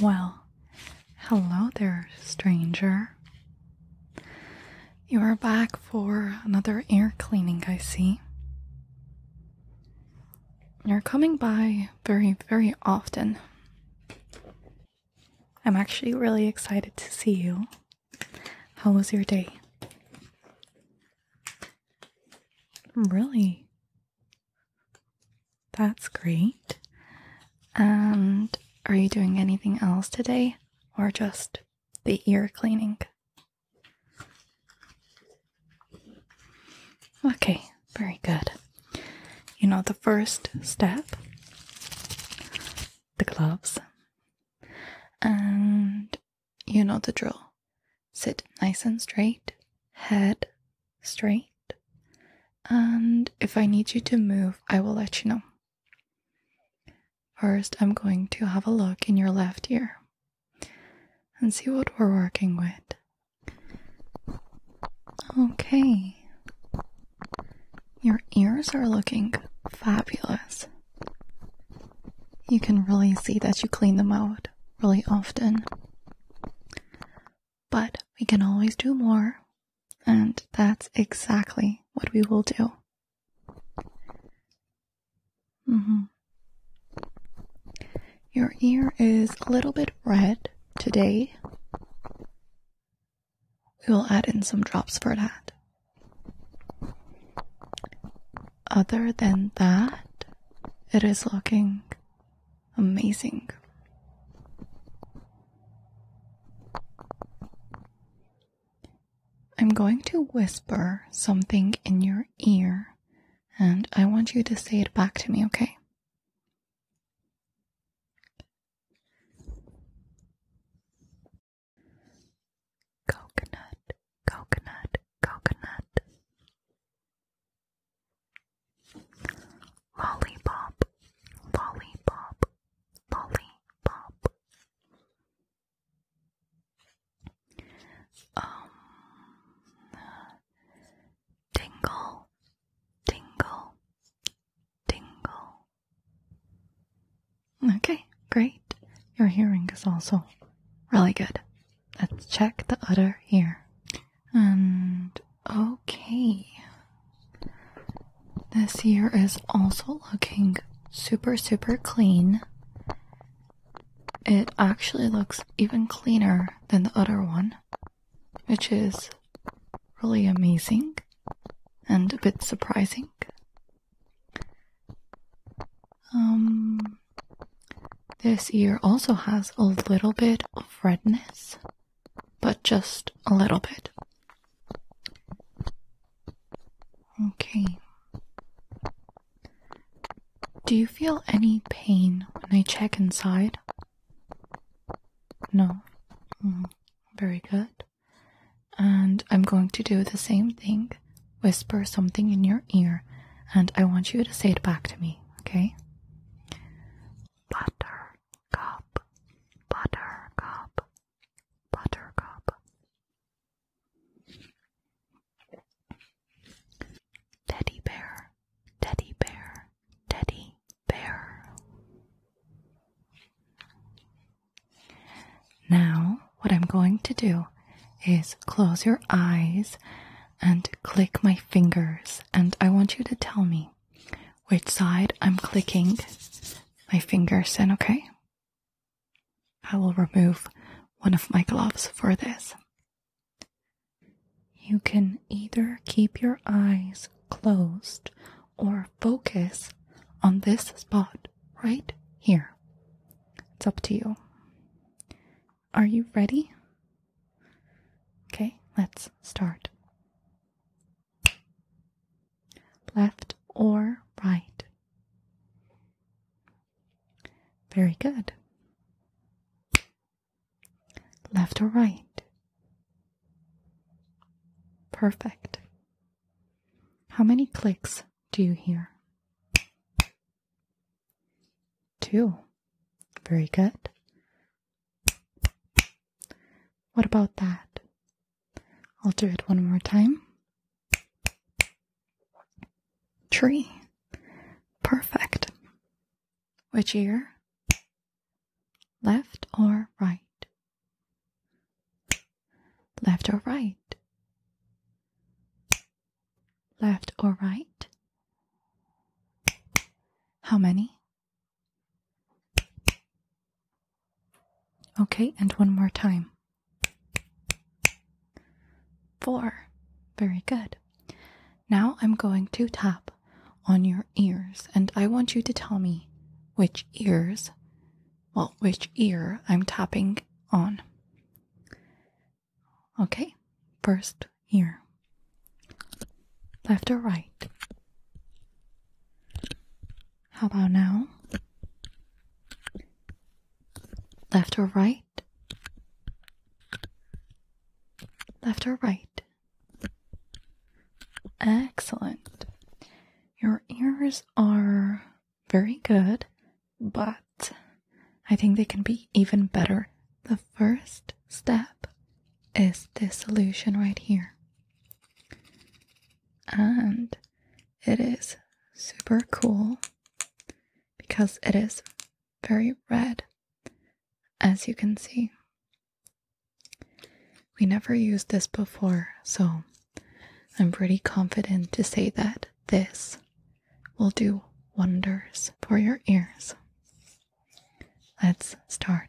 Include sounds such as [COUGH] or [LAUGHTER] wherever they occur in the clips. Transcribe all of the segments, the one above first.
Well, hello there, stranger. You are back for another air cleaning, I see. You're coming by very, very often. I'm actually really excited to see you. How was your day? Really? That's great. And are you doing anything else today or just the ear cleaning? Okay, very good. You know, the first step, the gloves, and you know the drill. Sit nice and straight, head straight. And if I need you to move, I will let you know. First, I'm going to have a look in your left ear and see what we're working with. Okay. Your ears are looking fabulous. You can really see that you clean them out really often but we can always do more, and that's exactly what we will do. Mm-hmm. Your ear is a little bit red today. We will add in some drops for that. Other than that, it is looking amazing. I'm going to whisper something in your ear, and I want you to say it back to me, okay? Coconut, coconut, coconut. Lollipop, lollipop, lollipop. Um, tingle, tingle, tingle. Okay, great. Your hearing is also really good. Let's check the other ear. And okay. This ear is also looking super, super clean. It actually looks even cleaner than the other one, which is really amazing and a bit surprising. Um, this ear also has a little bit of redness but just a little bit. Okay. Do you feel any pain when I check inside? No. Mm, very good. And I'm going to do the same thing whisper something in your ear, and I want you to say it back to me, okay? Butter cup, butter cup, Teddy bear, teddy bear, teddy bear. Now, what I'm going to do is close your eyes and click my fingers, and I want you to tell me which side I'm clicking my fingers and okay? I will remove one of my gloves for this. You can either keep your eyes closed or focus on this spot right here. It's up to you. Are you ready? Okay, let's start. Left or right? Very good. Left or right? Perfect. How many clicks do you hear? Two. Very good. What about that? I'll do it one more time. Tree. Perfect. Which ear? Left or right? Left or right? Left or right? How many? Okay, and one more time. Four. Very good. Now I'm going to tap on your ears, and I want you to tell me which ears, well, which ear I'm tapping on. Okay, first here. Left or right? How about now? Left or right? Left or right? Excellent. Your ears are very good, but I think they can be even better. The first step is this solution right here. And it is super cool because it is very red, as you can see. We never used this before, so I'm pretty confident to say that this will do wonders for your ears. Let's start.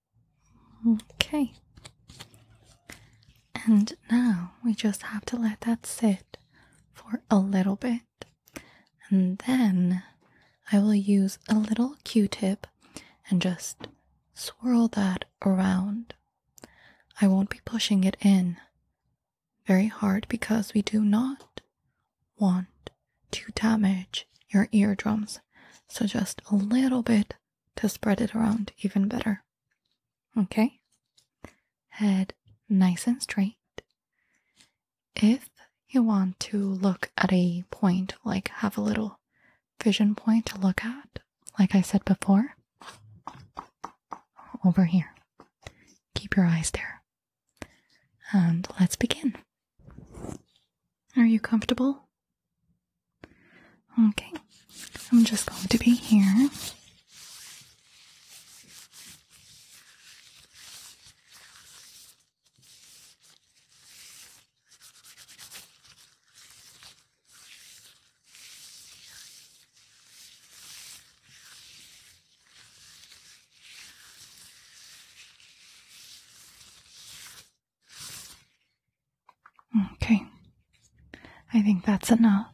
Okay. And now we just have to let that sit for a little bit. And then I will use a little q tip and just swirl that around. I won't be pushing it in very hard because we do not want to damage your eardrums. So just a little bit to spread it around even better. Okay? Head nice and straight. If you want to look at a point, like have a little vision point to look at, like I said before, over here. Keep your eyes there. And let's begin. Are you comfortable? Okay, I'm just going to be here. Okay. I think that's enough.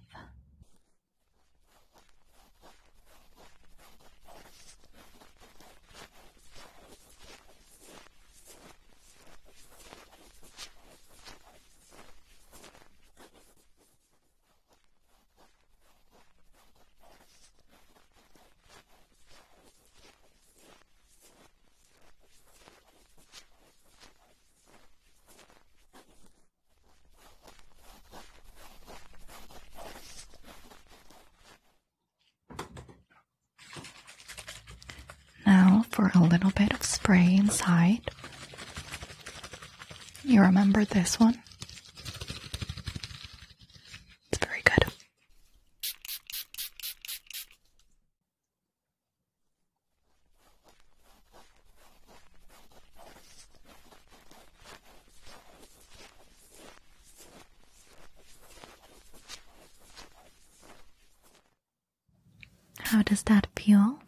Now, for a little bit of spray inside. You remember this one? It's very good. How does that feel?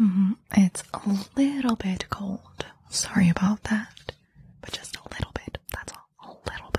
Mm-hmm. It's a little bit cold. Sorry about that but just a little bit. That's all. A little bit.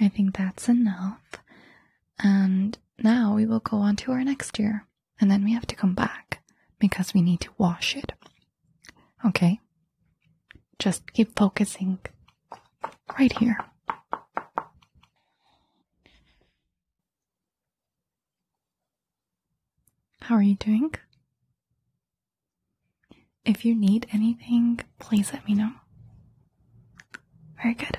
I think that's enough. And now we will go on to our next year. And then we have to come back because we need to wash it. Okay? Just keep focusing right here. How are you doing? If you need anything, please let me know. Very good.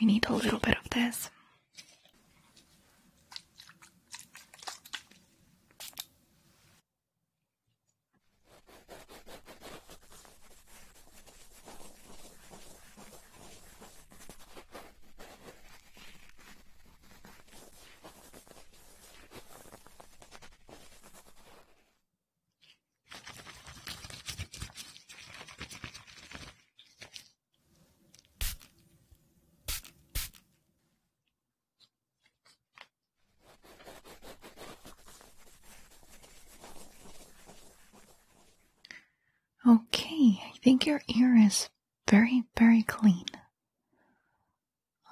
We need a little bit of this. Okay, I think your ear is very, very clean.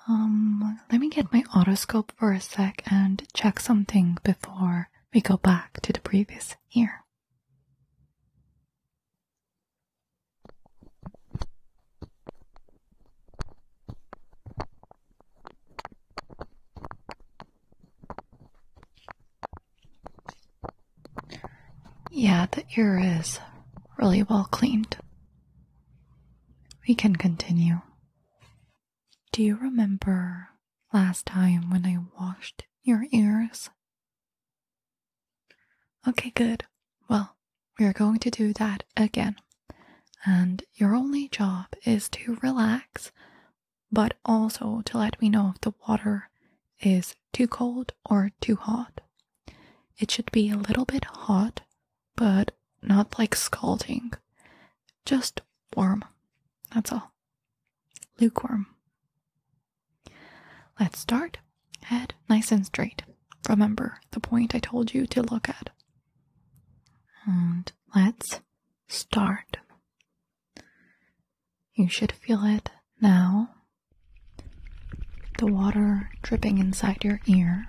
Um, let me get my otoscope for a sec and check something before we go back to the previous year. Yeah, the ear is really well cleaned. We can continue. Do you remember last time when I washed your ears? Okay, good. Well, we're going to do that again. And your only job is to relax, but also to let me know if the water is too cold or too hot. It should be a little bit hot, but not like scalding, just warm. That's all. Lukewarm. Let's start. Head nice and straight. Remember the point I told you to look at. And let's start. You should feel it now. The water dripping inside your ear.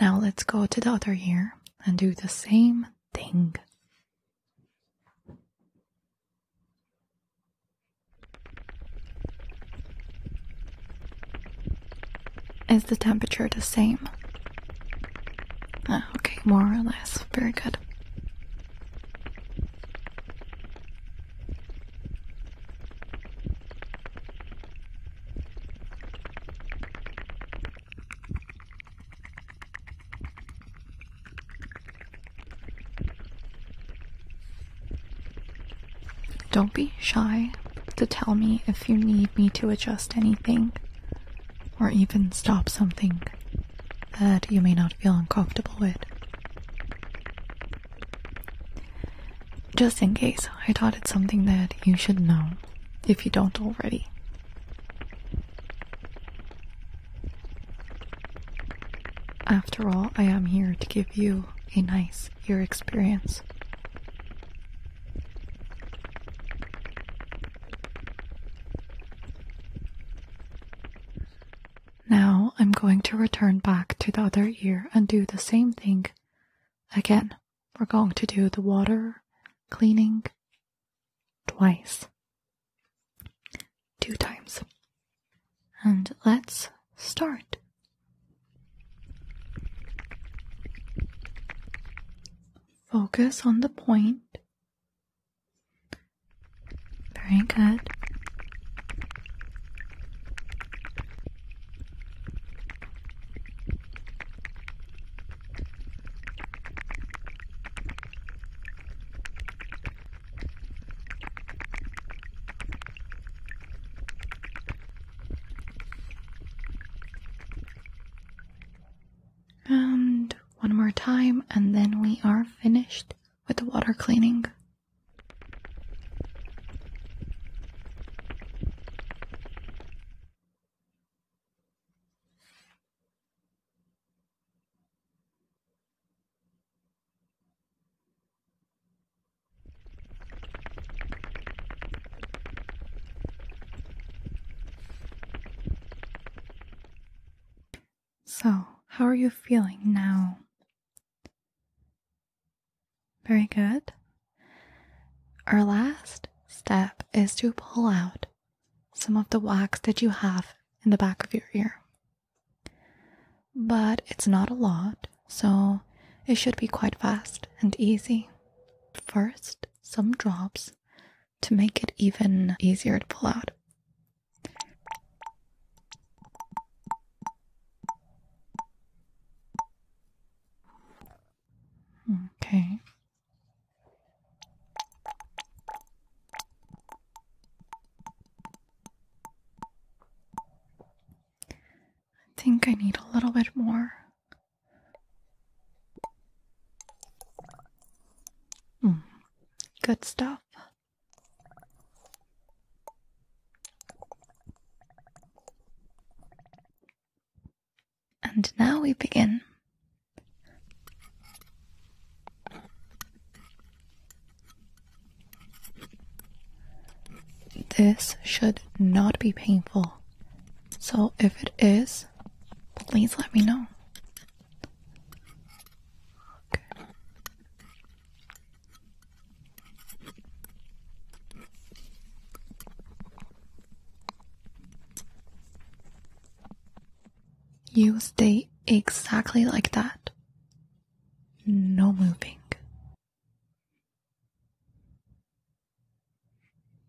Now let's go to the other ear and do the same thing. Is the temperature the same? Ah, okay, more or less. Very good. Don't be shy to tell me if you need me to adjust anything or even stop something that you may not feel uncomfortable with. Just in case, I thought it something that you should know if you don't already. After all, I am here to give you a nice ear experience. Now I'm going to return back to the other ear and do the same thing again. We're going to do the water, cleaning, twice, two times. And let's start. Focus on the point. Very good. And one more time, and then we are finished with the water cleaning. So, how are you feeling now? Very good. Our last step is to pull out some of the wax that you have in the back of your ear. But it's not a lot, so it should be quite fast and easy. First, some drops to make it even easier to pull out. Okay, I think I need a little bit more. Mm, good stuff. And now we begin. This should not be painful, so if it is, please let me know. You stay exactly like that. No moving.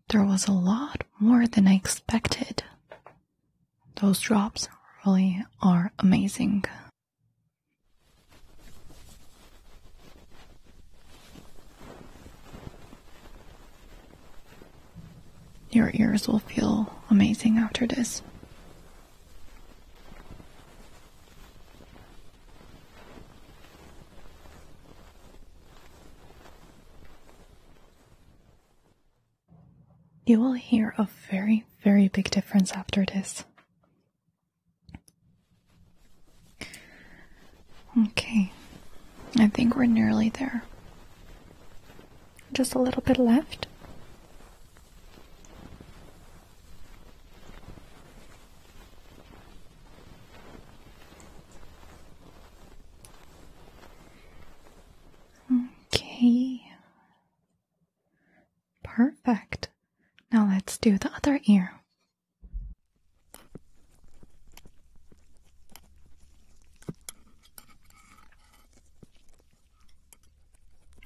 There was a lot more than I expected. Those drops really are amazing. Your ears will feel amazing after this. You will hear a very, very big difference after this. Okay, I think we're nearly there just a little bit left. Okay. Perfect. Now let's do the other ear.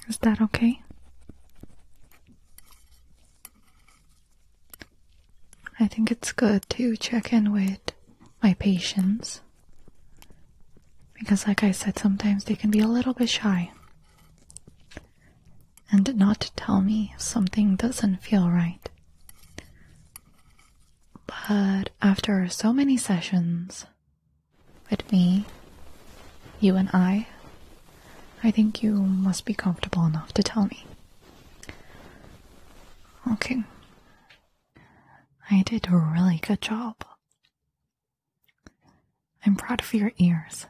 Is that okay? I think it's good to check in with my patients because, like I said, sometimes they can be a little bit shy and not tell me if something doesn't feel right. But after so many sessions with me, you and I, I think you must be comfortable enough to tell me. Okay. I did a really good job. I'm proud of your ears.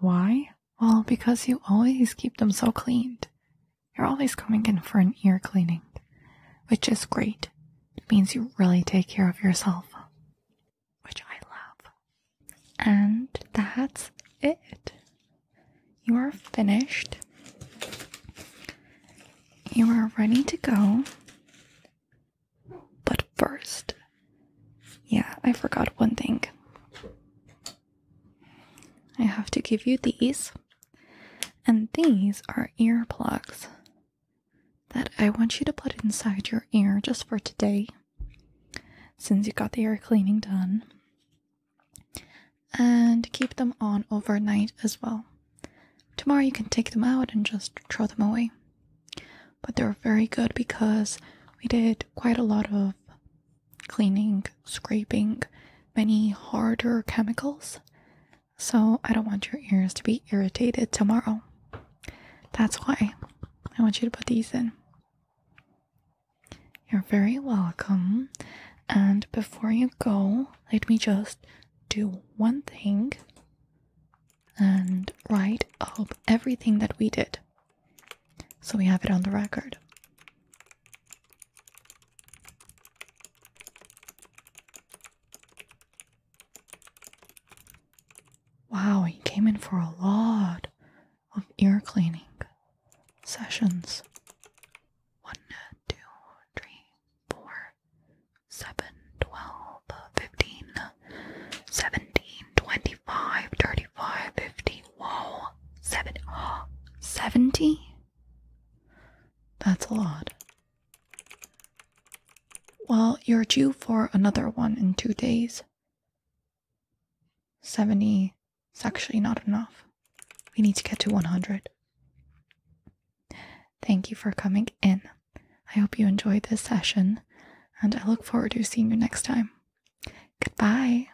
Why? Well, because you always keep them so cleaned you're always coming in for an ear cleaning, which is great. It means you really take care of yourself, which I love. And that's it. You are finished. You are ready to go. But first, yeah, I forgot one thing. I have to give you these. And these are earplugs that I want you to put inside your ear just for today, since you got the ear cleaning done. And keep them on overnight as well. Tomorrow you can take them out and just throw them away. But they're very good because we did quite a lot of cleaning, scraping, many harder chemicals. So I don't want your ears to be irritated tomorrow. That's why I want you to put these in. You're very welcome. And before you go, let me just do one thing and write up everything that we did so we have it on the record. Wow, he came in for a lot of ear cleaning sessions. One, two, three, four, seven, twelve, fifteen, seventeen, twenty-five, thirty-five, fifty. Whoa, seven, oh, [GASPS] seventy. That's a lot. Well, you're due for another one in two days. 70 is actually not enough. We need to get to 100. Thank you for coming in. I hope you enjoyed this session, and I look forward to seeing you next time. Goodbye.